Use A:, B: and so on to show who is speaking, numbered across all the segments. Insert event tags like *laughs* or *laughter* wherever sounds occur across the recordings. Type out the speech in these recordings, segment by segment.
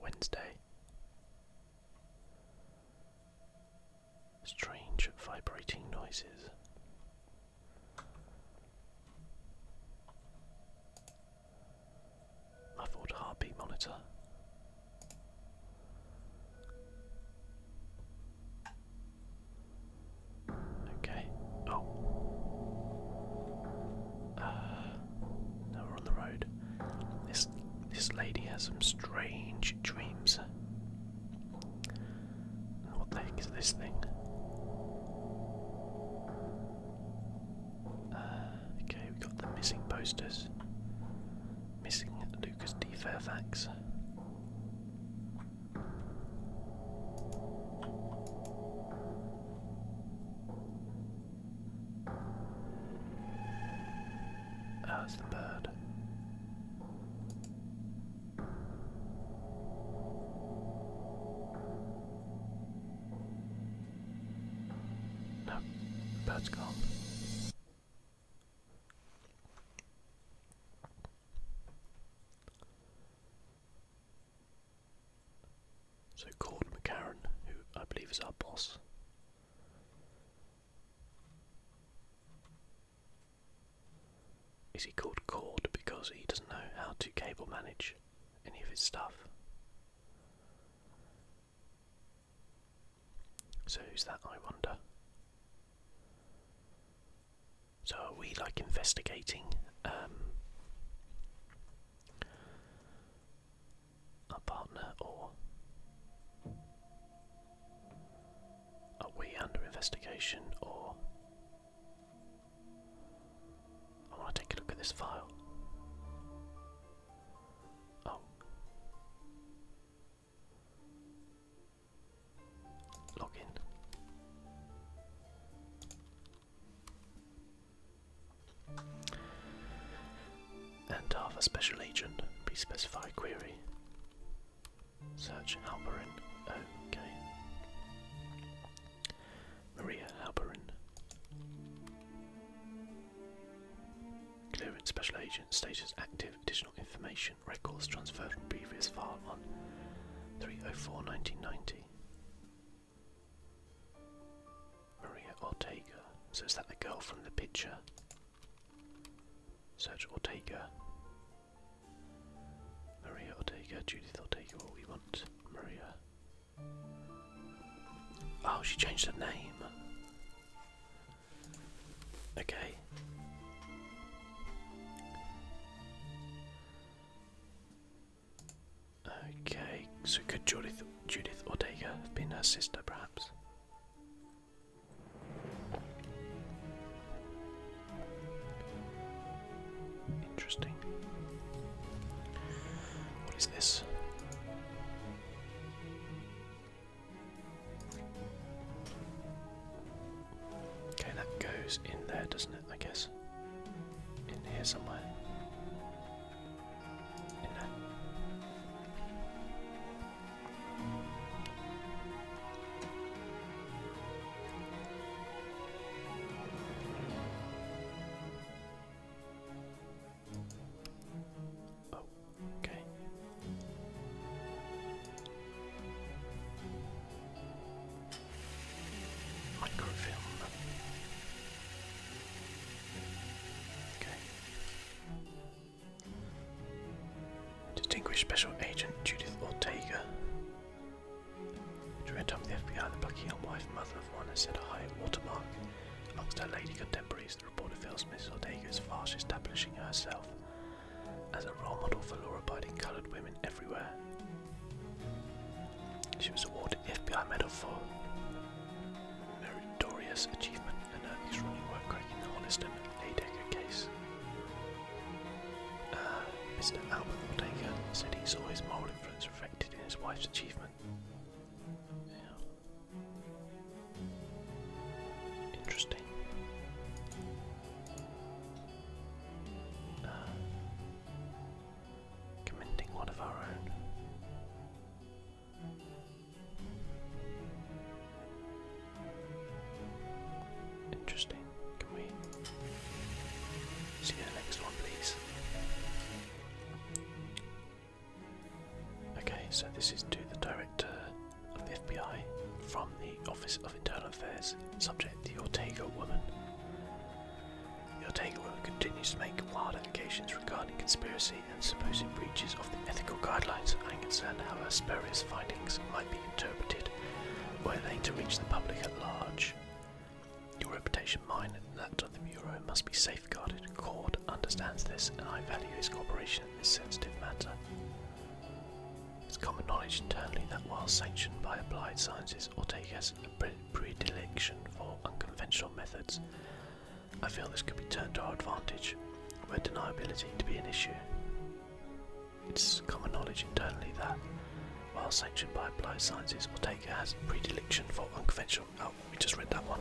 A: Wednesday. Strange vibrating noises. I thought heartbeat monitor. Okay. Oh. Uh, we're on the road. This this lady has some strange dreams. What the heck is this thing? Uh, okay, we got the missing posters. Missing Lucas D. Fairfax. Oh, the bird. No, the bird's gone. So Cord McCarran, who I believe is our boss. Is he called Cord because he doesn't know how to cable manage any of his stuff? So who's that I wonder? So are we like investigating um, partner or are we under investigation or I want to take a look at this file. Oh. Login. And half a special agent, please specify query. Search Halperin. Okay. Maria Halperin. Clearance special agent status active additional information records transferred from previous file on 304 1990. Maria Ortega. So is that the girl from the picture? Search Ortega. Maria Ortega, Judith Ortega, what we want. Maria. Oh, she changed her name. Okay. Okay, so could Judith, Judith Ortega have been her sister, perhaps? Interesting. What is this? Okay, that goes in there, doesn't it? I guess. In here somewhere. In there. Oh, okay. Microfilm. Okay. Distinguished Special Agent Judith Ortega. Director of the FBI, the Bucky Hill wife, mother of one, has set a high watermark amongst her lady contemporaries. The reporter feels Mrs. Ortega is fast establishing herself as a role model for law abiding coloured women everywhere. She was awarded FBI Medal for meritorious achievement in her extraordinary work cracking the Holliston Laydecker case. Uh, Mr. Albert Ortega said he saw his moral influence reflected in his wife's achievement. Interesting. Uh, commending one of our own. Interesting. Can we see the next one, please? Okay, so this is to the director of the FBI from the Office Internal Affairs, subject to the Ortega woman. Your take, Ortega woman continues to make wild allegations regarding conspiracy and supposed breaches of the ethical guidelines. and concern how her spurious findings might be interpreted were they to reach the public at large. Your reputation, mine, and that of the Bureau must be safeguarded. Cord understands this, and I value his cooperation in this sensitive matter. It's common knowledge internally that while sanctioned by applied sciences or has a predilection for unconventional methods, I feel this could be turned to our advantage, where deniability to be an issue. It's common knowledge internally that, while sanctioned by applied sciences, or has a predilection for unconventional. Oh, we just read that one.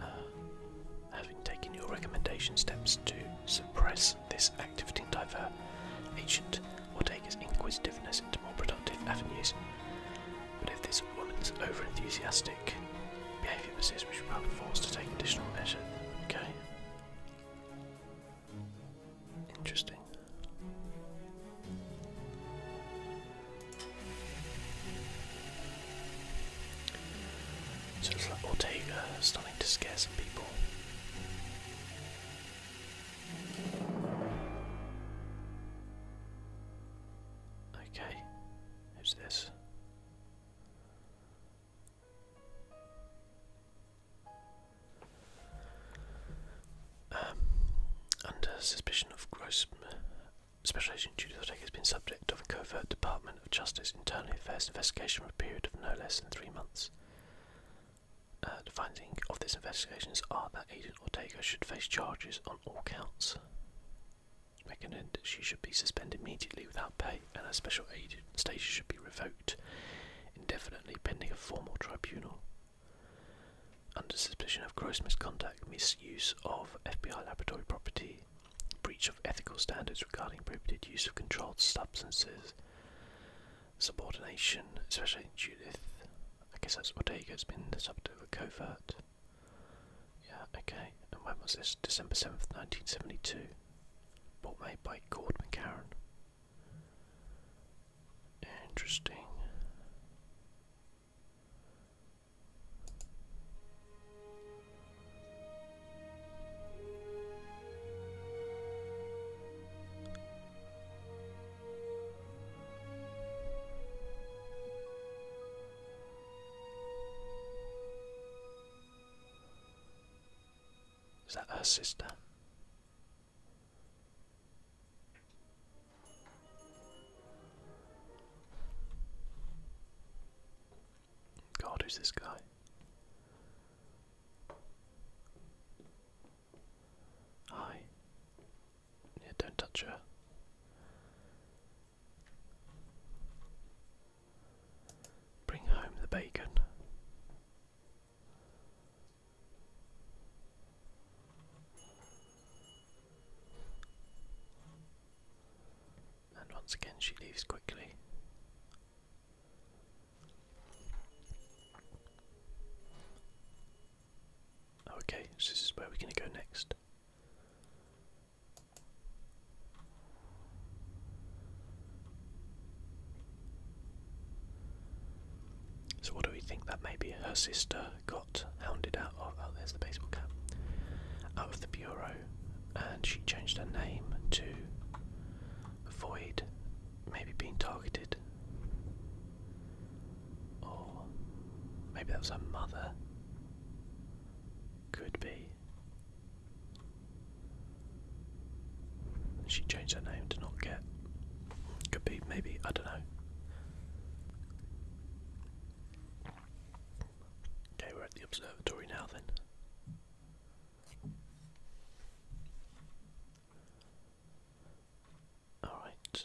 A: Uh, having taken your recommendation steps to suppress this activity diver agent will take his inquisitiveness into more productive avenues. But if this woman's over-enthusiastic behaviour persists, we should probably forced to take additional measures. Okay. Interesting. So it's like Ortega uh, starting to scare some people. Okay, who's this? Um, under suspicion of gross. Special Agent Judith Ortega has been subject of a covert Department of Justice Internal Affairs investigation for a period of no less than three months. Uh, the findings of these investigations are that Agent Ortega should face charges on all counts. Recommend that she should be suspended immediately without pay, and her special agent status should be revoked indefinitely pending a formal tribunal. Under suspicion of gross misconduct, misuse of FBI laboratory property, breach of ethical standards regarding prohibited use of controlled substances, subordination, especially Judith. I guess that's Ortega's been the subject of a covert. Yeah, okay. And when was this? December 7th, 1972. Bought made by Gord McCarran. Interesting. Is that her sister? God, who's this guy? Hi. Yeah, don't touch her. Bring home the bacon. And once again, she leaves quickly. Oh, okay, so this is where we're going to go next. So, what do we think that maybe her sister got hounded out of? Oh, there's the baseball cap. Out of the bureau and she changed her name to avoid maybe being targeted. Or maybe that was her mother. Could be. She changed her name to not get. Could be, maybe, I don't know. Okay, we're at the observatory now then. All right.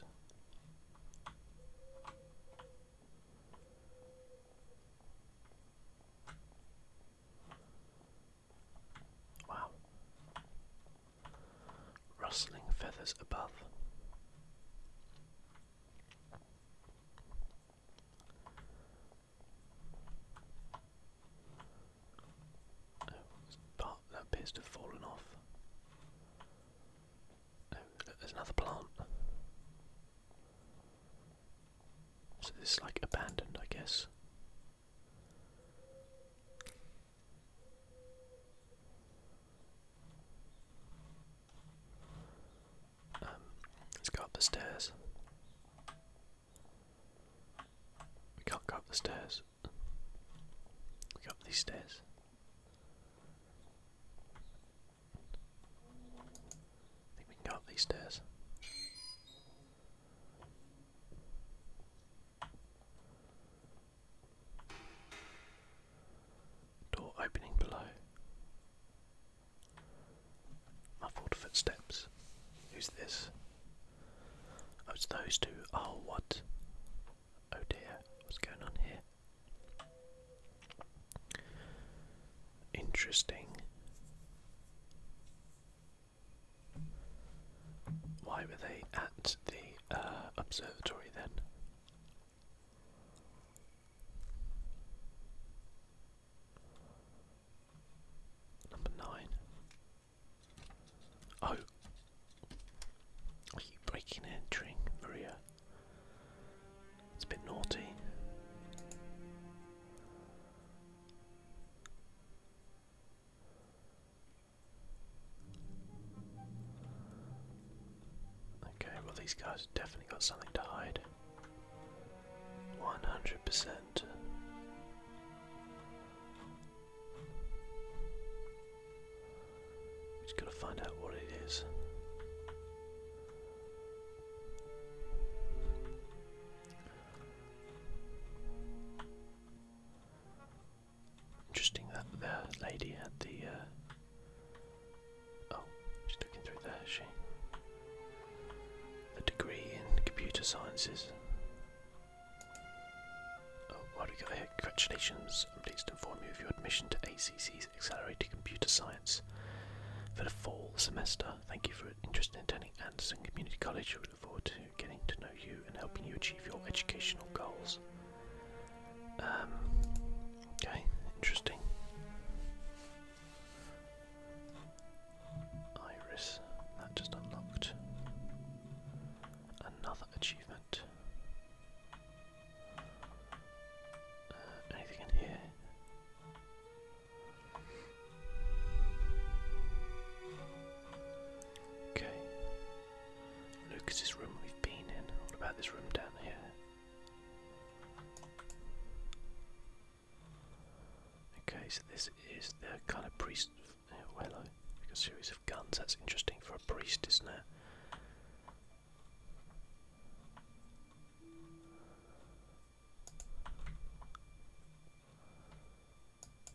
A: Wow. Rustling feathers above. Oh, that appears to have fallen off. Oh, there's another plant. So this is like abandoned, I guess. Um, let's go up the stairs. We can't go up the stairs. We go up these stairs. I think we can go up these stairs. Door opening below. Muffled footsteps. Who's this? Oh, it's those two. Oh, what? Oh dear, what's going on here? Interesting. Why were they at the uh, observatory then? Number nine. Oh, are you breaking and entering, Maria? It's a bit naughty. Okay, well, these guys definitely got something to hide. 100%. We just gotta find out what it is. Interesting that the lady had the uh, Oh, she's looking through there, is she? A degree in computer sciences. Oh, what do we got here? Congratulations, I'm pleased to inform you of your admission to ACC's Accelerated Computer Science for the fall semester. Thank you for your interest in attending Anderson Community College. We look forward to getting to know you and helping you achieve your educational goals. Um, Okay, interesting. Iris, that just unlocked another achievement. Uh, anything in here? Okay. Lucas's room we've been in. What about this room down here? Okay, so this is the kind of priest. well, oh, a series of guns. That's interesting for a priest, isn't it?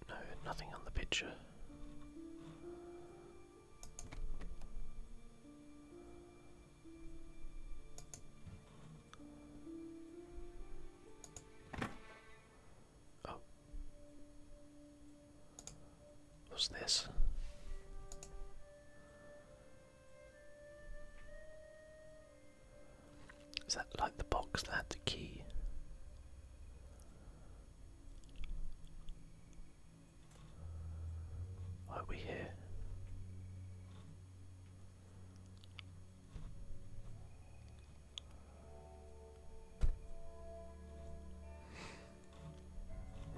A: No, nothing on the picture. Oh. What's this? Is that like the box that had the key? Why Are we here?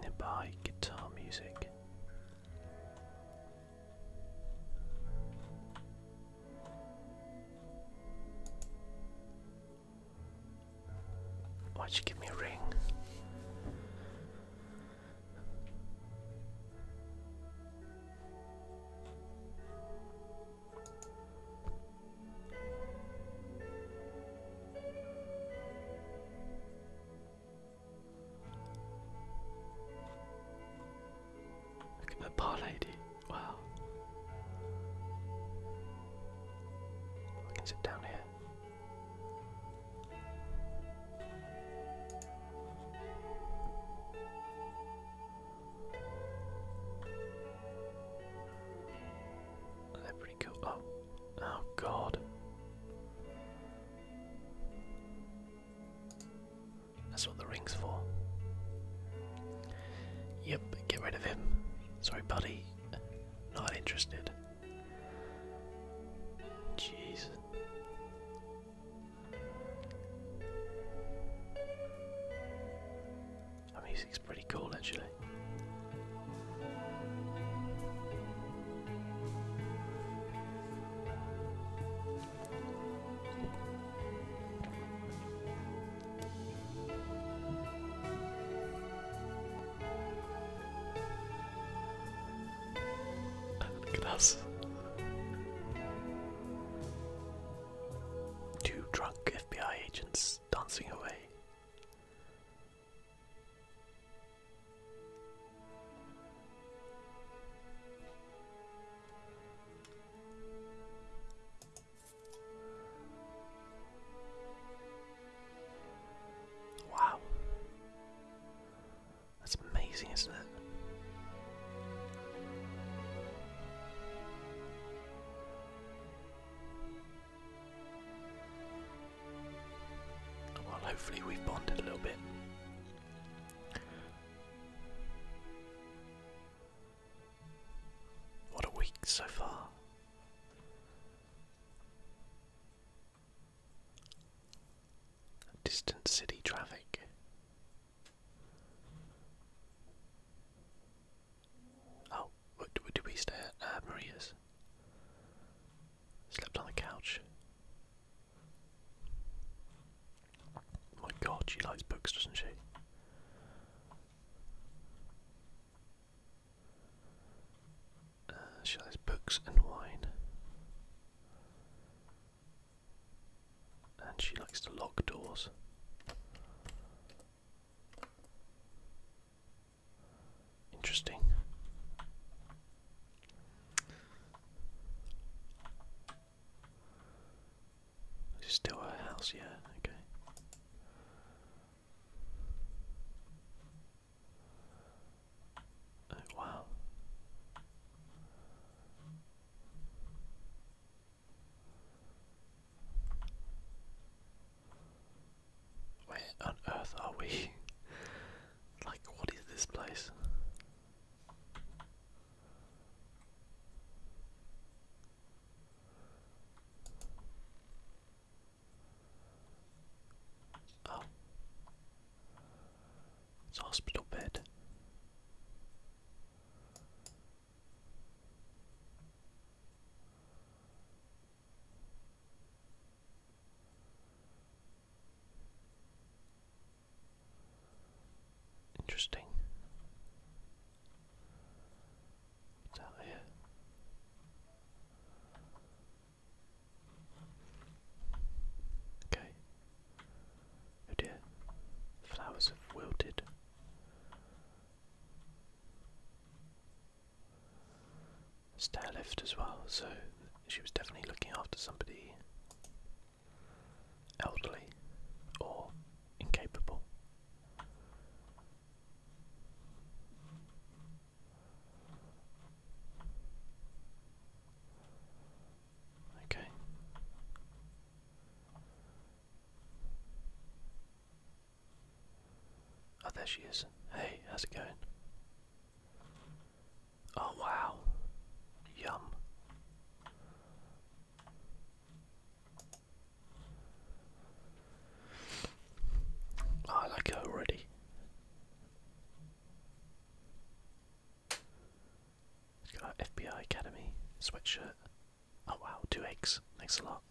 A: Nearby guitar music. Why'd you give me a ring? Look at that bar lady. Wow. I can sit down here. They're pretty cool. Oh, oh God. That's what the ring's for. Yep, get rid of him. Sorry, buddy. Not interested. Jesus. That music's pretty cool actually. Look at us. Two drunk FBI agents dancing away. Wow. That's amazing, isn't it? Well, hopefully, we've bonded a little bit. What a week so far. Distant city traffic. Oh, what did we stay at? Uh, Maria's. Slept on the couch. My god, she likes books, doesn't she? Uh, she likes books and wine. And she likes to lock doors. Interesting. Is still her house? Yeah, okay. Oh, wow. Where on earth are we? *laughs* like, what is this place? Oh. It's a hospital bed. Interesting. What's out here? Okay. Oh dear. Flowers have wilted. Stair lift as well, so she was definitely looking after somebody elderly or incapable. Okay. Oh, there she is. Hey, how's it going? Oh, wow. Yum. I like it already. got FBI Academy sweatshirt. Oh wow, two eggs. Thanks a lot.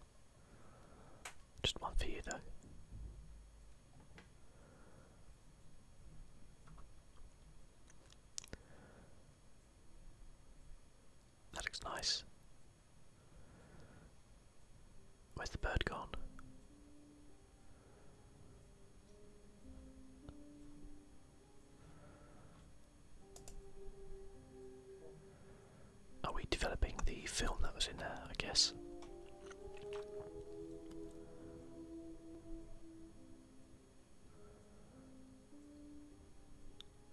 A: Just one for you though. That looks nice. Where's the bird gone? Are we developing the film that was in there, I guess?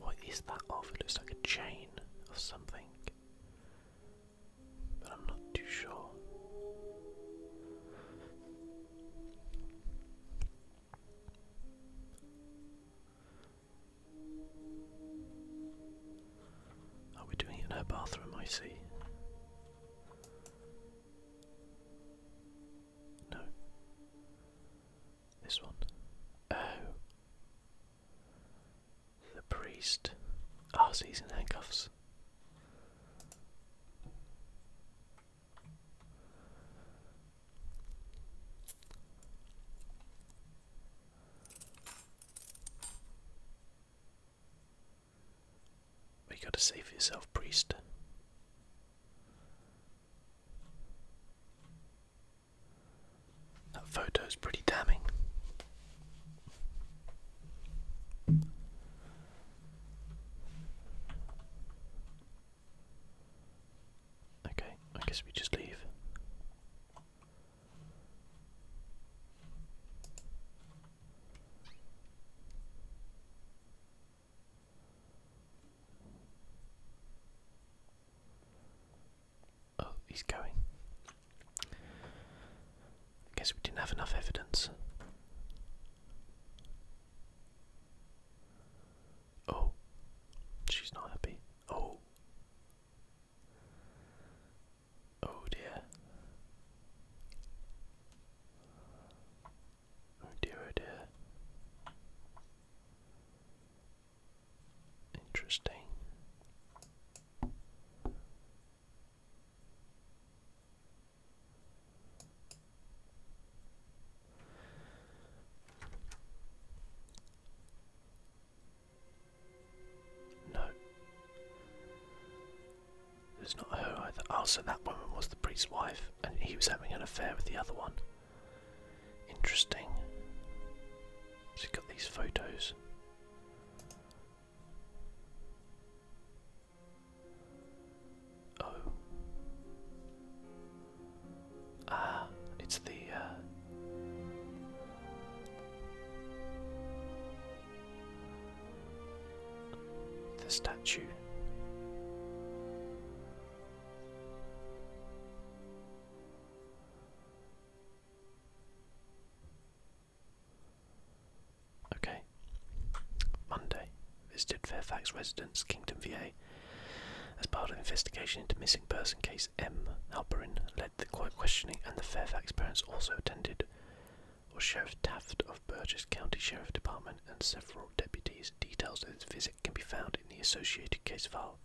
A: What is that of? It looks like a chain of something. But I'm not too sure. Are we doing it in her bathroom? I see. No. This one. Oh. The priest. Ah, oh, he's in handcuffs. You gotta save yourself, priest. That photo's pretty damning. Okay, I guess we just leave. Oh, he's going. guess we didn't have enough evidence. Oh, she's not happy. Oh. Oh dear. Oh dear, oh dear. Interesting. No. It was not her either. Oh, so that woman was the priest's wife, and he was having an affair with the other one. Interesting. she got these photos. Oh. Ah, it's the. Uh, the statue. Okay. Monday. As part of investigation into missing person case, M. Halperin led the questioning, and the Fairfax parents also attended or Sheriff Taft of Burgess County Sheriff Department and several deputies. Details of his visit can be found in the associated case file.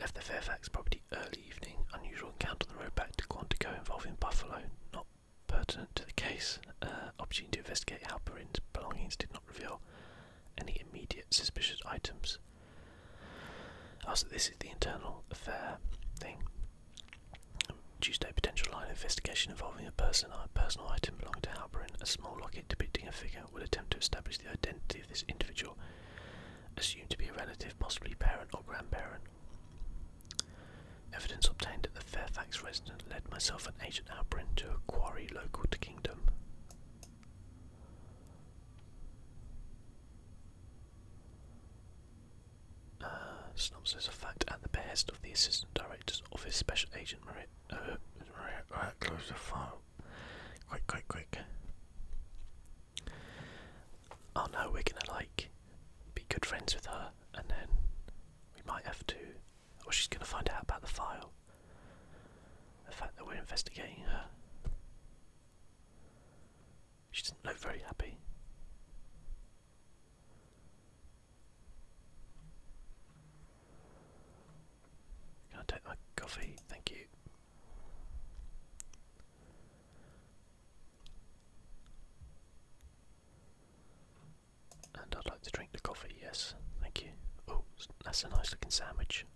A: Left the Fairfax property early evening. Unusual encounter on the road back to Quantico involving Buffalo. Not pertinent to the case. Uh, opportunity to investigate Halperin's belongings did not reveal any immediate suspicious items. Also, this is the internal affair thing. Tuesday, potential line investigation involving a a personal item belonging to Halperin. A small locket depicting a figure will attempt to establish the identity of this individual, assumed to be a relative, possibly parent or grandparent. Evidence obtained at the Fairfax residence led myself and Agent Halperin to a quarry local to Kingdom. Uh, Snob says a fact at the behest of the Assistant Director's Office Special Agent Maria. Uh, Maria, right, uh, close the file. Quick, quick, quick. Oh no, we're gonna like be good friends with her, and then we might have to. Or she's gonna find out about the file. The fact that we're investigating her. She doesn't look very happy. Can I take my coffee? Thank you. And I'd like to drink the coffee, yes, thank you. Oh, that's a nice looking sandwich.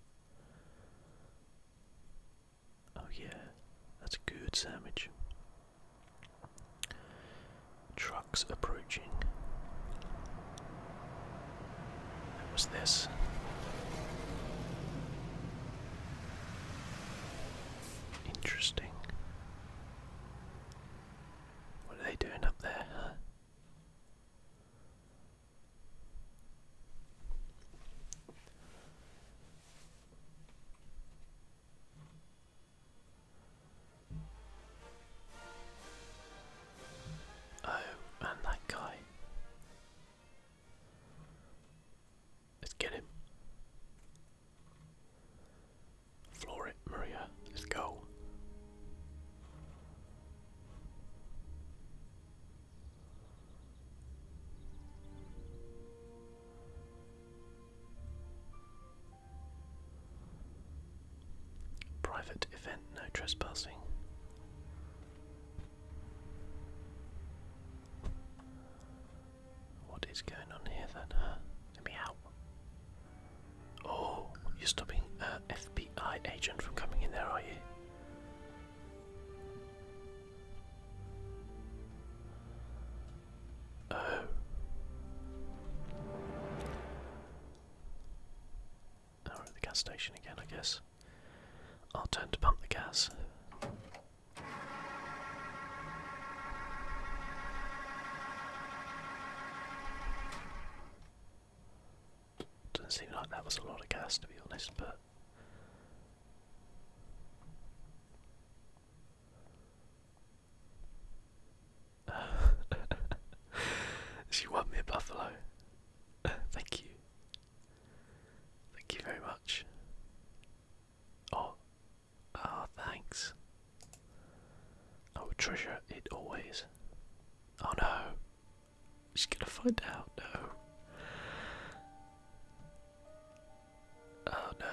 A: Oh, yeah, that's a good sandwich. Trucks approaching. What this? Interesting. What are they doing up there, Oh, and that guy. Let's get him. Floor it, Maria. Let's go. Private event, no trespassing. What is going on here then? Let me out. Oh, you're stopping an FBI agent from coming in there, are you? Oh. Now we're at the gas station again, I guess. I'll turn to pump the gas. Doesn't seem like that was a lot of gas to be honest, but *laughs* she won me a buffalo. *laughs* Thank you. Thank you very much. Oh, ah, thanks. I will treasure it always. Oh no, she's gonna find out. No. Oh no.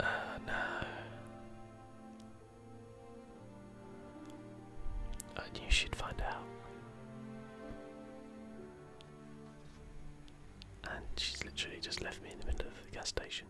A: Oh no. And you should find out. And she's literally just left me in the middle of the gas station.